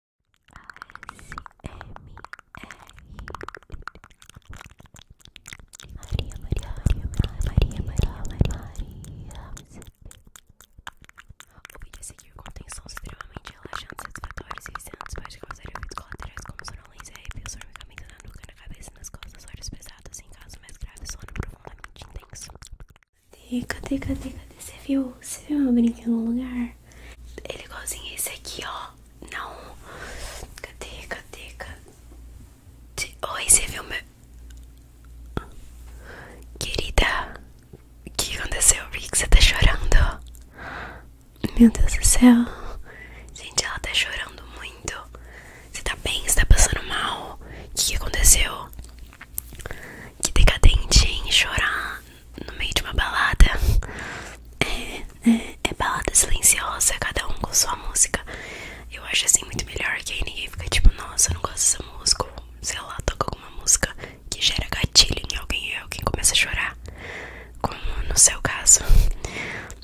Maria, Maria, Maria, Maria, Maria, Maria, Maria. O vídeo a seguir contém sons extremamente relaxantes, satisfatórios e viciantes, pode causar efeitos colaterais como sonolência, arrepios, formigamento na nuca, na cabeça e nas costas, olhos pesados, em caso mais graves, sono profundamente intenso. Cadê, cadê, cadê, cadê? Você viu? Você viu meu brinquedo no lugar? Ele é igualzinho esse aqui, ó. Não. Cadê, cadê, cadê? Oi, você viu meu... Querida, o que aconteceu? Por você tá chorando? Meu Deus do céu. Gente, ela tá chorando muito. Você tá bem? Você tá passando mal? O que, aconteceu? Que decadente, hein? Chorar no meio de uma balada. É, é, é, balada silenciosa, cada um com sua música. Eu acho assim muito melhor que aí ninguém fique tipo, nossa, eu não gosto dessa música. Ou, sei lá, toca alguma música que gera gatilho em alguém e alguém começa a chorar. Como no seu caso.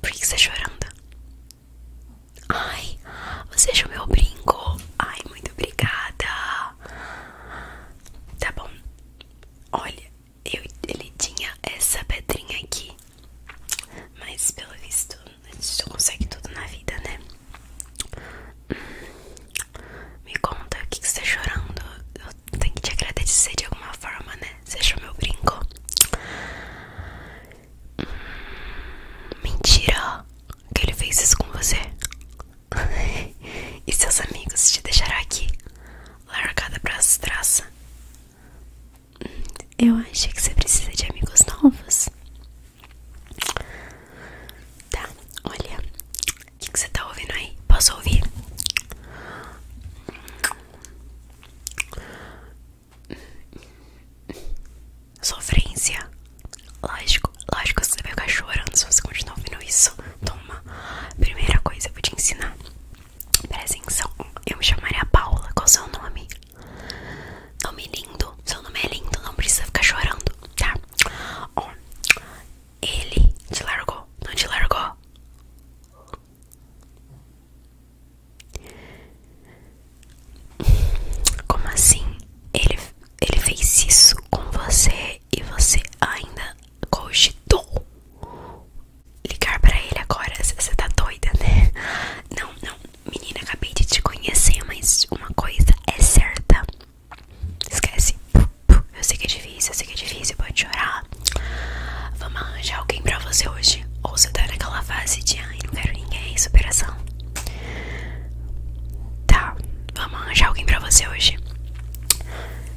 Por que você tá chorando? Ai, você achou meu brinco? Ai, muito obrigada. Tá bom. Olha, eu, ele tinha essa pedrinha aqui. Mas pelo visto, a gente consegue tudo na vida, né? Hum. Me conta, o que, que você tá chorando? Eu tenho que te agradecer de alguma forma, né? Você achou meu brinco? Hum. Mentira! Que ele fez isso com você? e seus amigos te deixarão aqui, largada pra traça. Eu achei que você precisa de amigos novos. Tá, olha. O que, que você tá ouvindo aí? Posso ouvir? sofrência. Lógico, lógico, você vai ficar chorando se você continuar ouvindo isso. Toma. Primeira coisa, eu vou te ensinar. Presta atenção. Eu me chamaria Paula. Qual o seu nome? Nome lindo. Seu nome é lindo. Não precisa ficar chorando, tá? ele te largou. Não te largou? Como assim? Ele, ele fez isso com você e você ainda cogitou ligar pra ele agora? Você tá doida, né? Não, não, menina, acabei de te conhecer, mas uma coisa é certa. Esquece. Eu sei que é difícil, eu sei que é difícil, vou te chorar. Vamos arranjar alguém pra você hoje. Ou você tá naquela fase de ai, não quero ninguém, superação. Tá, vamos arranjar alguém pra você hoje.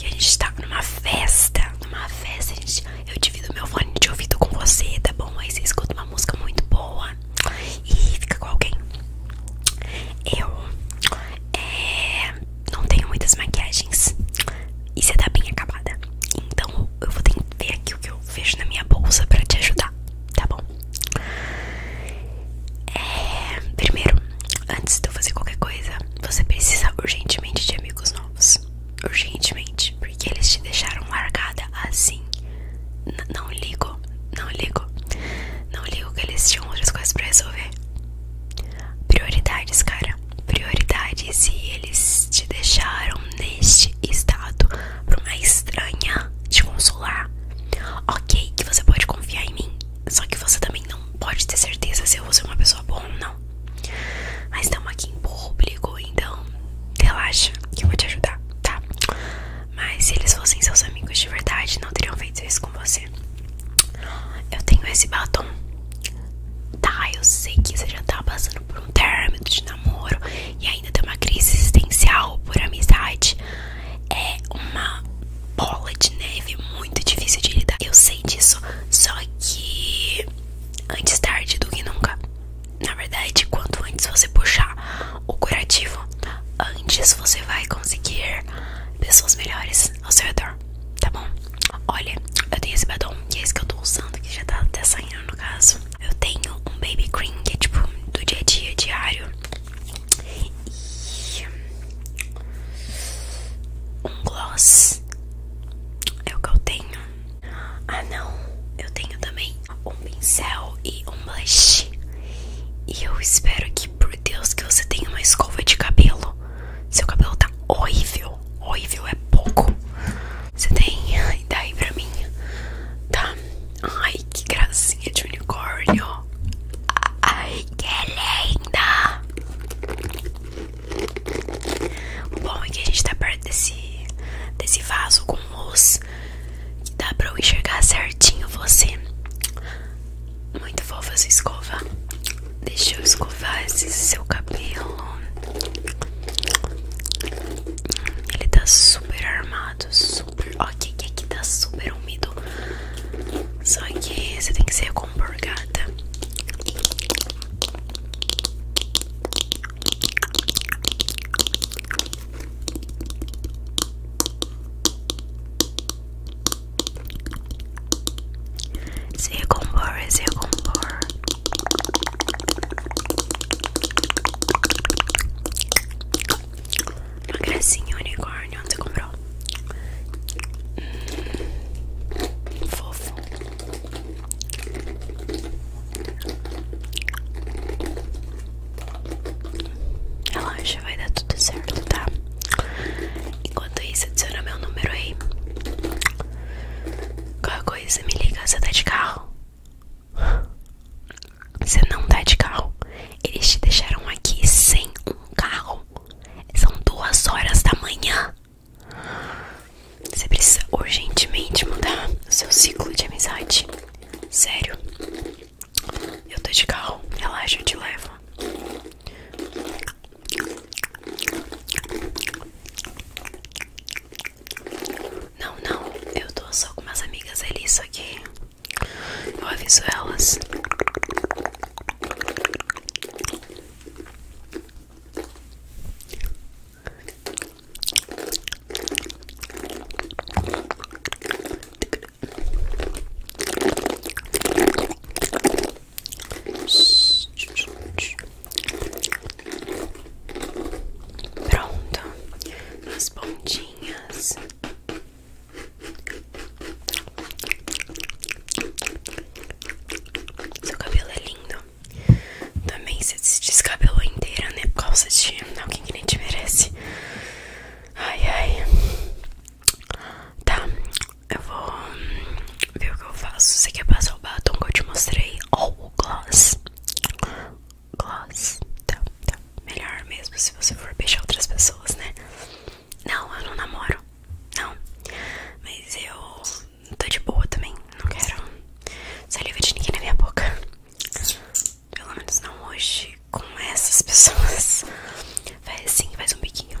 E a gente tá numa festa. Numa festa, eu divido meu fone de ouvido com você, tá bom? Aí você escuta uma música muito boa e fica com alguém. Eu é, não tenho muitas maquiagens e você tá bem acabada. Então eu vou ter que ver aqui o que eu vejo na minha bolsa pra te ajudar, tá bom? É, primeiro, antes de eu fazer qualquer coisa, você precisa urgentemente de amigos novos. Urgentemente, porque eles te deixaram largada assim. não ligo, não ligo. Não ligo que eles tinham outras coisas pra resolver. Prioridades, cara. Prioridades e eles te deixaram neste estado para uma estranha te consolar. Ok, que você pode confiar em mim, só que você também não pode ter certeza se eu vou ser uma pessoa boa ou não. Mas estamos aqui em público, então relaxa que eu vou te ajudar, tá? Mas se eles fossem seus amigos de verdade, não teriam feito isso com você. Eu tenho esse batom. Tá, eu sei que você já tá passando por um término de namoro. E aí ainda tem uma crise existencial por amizade é uma bola de neve muito difícil de lidar. Eu sei disso, só que antes tarde do que nunca. Na verdade, quanto antes você puxar o curativo, antes você vai conseguir pessoas melhores ao seu redor, tá bom? Olha, eu tenho esse batom, que é esse que eu tô usando, que já tá até saindo no caso. Eu tenho um baby cream que é tipo do dia a dia, diário. E um gloss é o que eu tenho. Ah não, eu tenho também um pincel e um blush. E eu espero que, por Deus, que você tenha uma escova de cabelo. Seu cabelo tá horrível, horrível é pouco. Você tem? E aí pra mim? Tá? Ai, que gracinha de unicórnio. Ai, que linda! O bom é que a gente tá perto desse, desse vaso com luz que dá pra eu enxergar certinho você. Muito fofa sua escova. Deixa eu escovar esse seu cabelo. Ele tá super armado, super. Ó, que que aqui tá super úmido. Só que você tem que ser recompor, gata. Se recompor, é se recompor. É uma gracinha unicórnio, onde você comprou? Hum, fofo. Relaxa, vai dar tudo certo, tá? Enquanto isso, adicione meu número aí Qualquer é coisa, me liga, você tá de carro? Você não tá de carro. Eles te deixaram aqui sem um carro. São duas horas da manhã. Você precisa urgentemente mudar o seu ciclo de amizade. Sério. Eu tô de carro. Relaxa, eu te levo. Não, não, eu tô só com umas amigas ali, só que eu aviso elas. Pronto, as pontinhas. Seu cabelo é lindo. Também você se descabelou inteira, né? Por causa de alguém que nem te merece. Ai, ai. Tá, eu vou ver o que eu faço. Você quer passar o batom que eu te mostrei? Ou oh, o gloss? Gloss. Tá, tá. Melhor mesmo se você for beijar outras pessoas, né? Não, eu não namoro. Não. Mas eu tô de boa também. Não quero saliva de ninguém na minha boca. Pelo menos não hoje com essas pessoas. faz assim, faz um biquinho.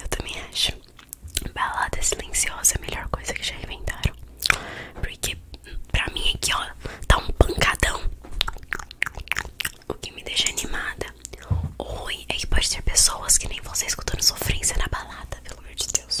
Eu também acho. Balada silenciosa é a melhor coisa que já inventaram. Porque pra mim aqui, ó, tá um pancadão. O que me deixa animada. oi ruim é que pode ter pessoas que nem você escutando sofrência na balada, pelo amor de Deus.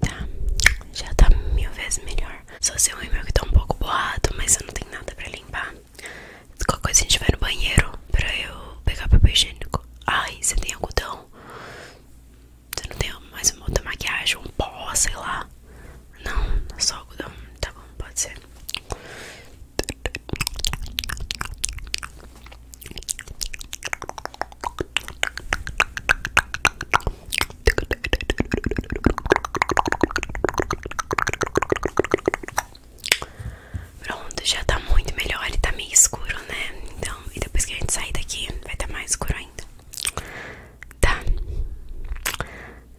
Tá, já tá mil vezes melhor. Só seu rímel que tá um pouco boado mas eu não tenho nada pra limpar. Qualquer coisa a gente vai no banheiro pra eu pegar papel higiênico. Ai, você tem algodão? Você não tem mais uma outra maquiagem, um pó, sei lá. Não, só algodão. Tá bom, pode ser. Pronto, já tá muito melhor. e tá meio escuro, né? Então, e depois que a gente sair daqui, vai estar tá mais escuro ainda. Tá.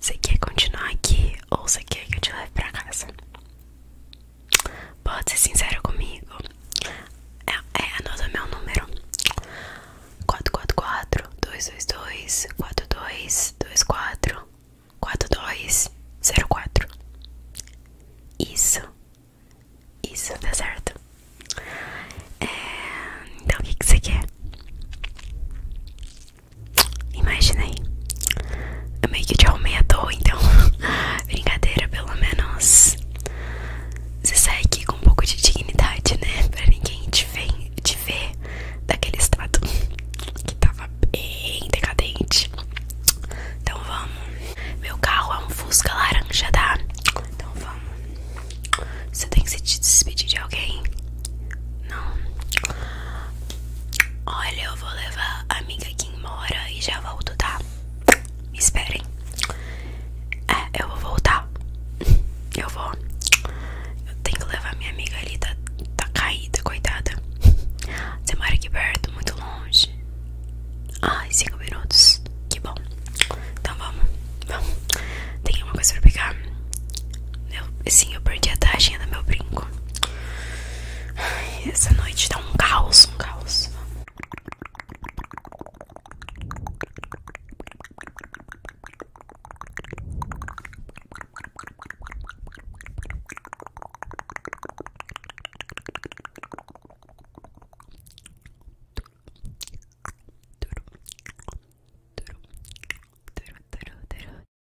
Você quer continuar aqui ou você quer que eu te leve pra casa? Pode ser sincero comigo. É, é anota meu número: 444 222 4224 4204. Isso. Isso, tá certo. É, então o que, que você quer? Imagina aí eu meio que te aumento, então brincadeira, pelo menos você sai aqui com um pouco de dignidade, né? Pra ninguém te ver, te ver daquele estado que tava bem decadente. Então vamos. Meu carro é um Fusca laranja, tá? Então vamos. Você tem que se despedir de alguém? Não. Olha, eu vou levar a amiga aqui mora e já volto, tá? esperem. É, eu vou voltar. Eu vou. Eu tenho que levar minha amiga ali, tá, tá caída, coitada. Você mora aqui perto, muito longe. Ai, cinco minutos. Que bom. Então vamos. Vamos. Tem uma coisa pra pegar. sim, eu perdi a taxinha do meu brinco. Ai, essa noite tá um caos, um caos.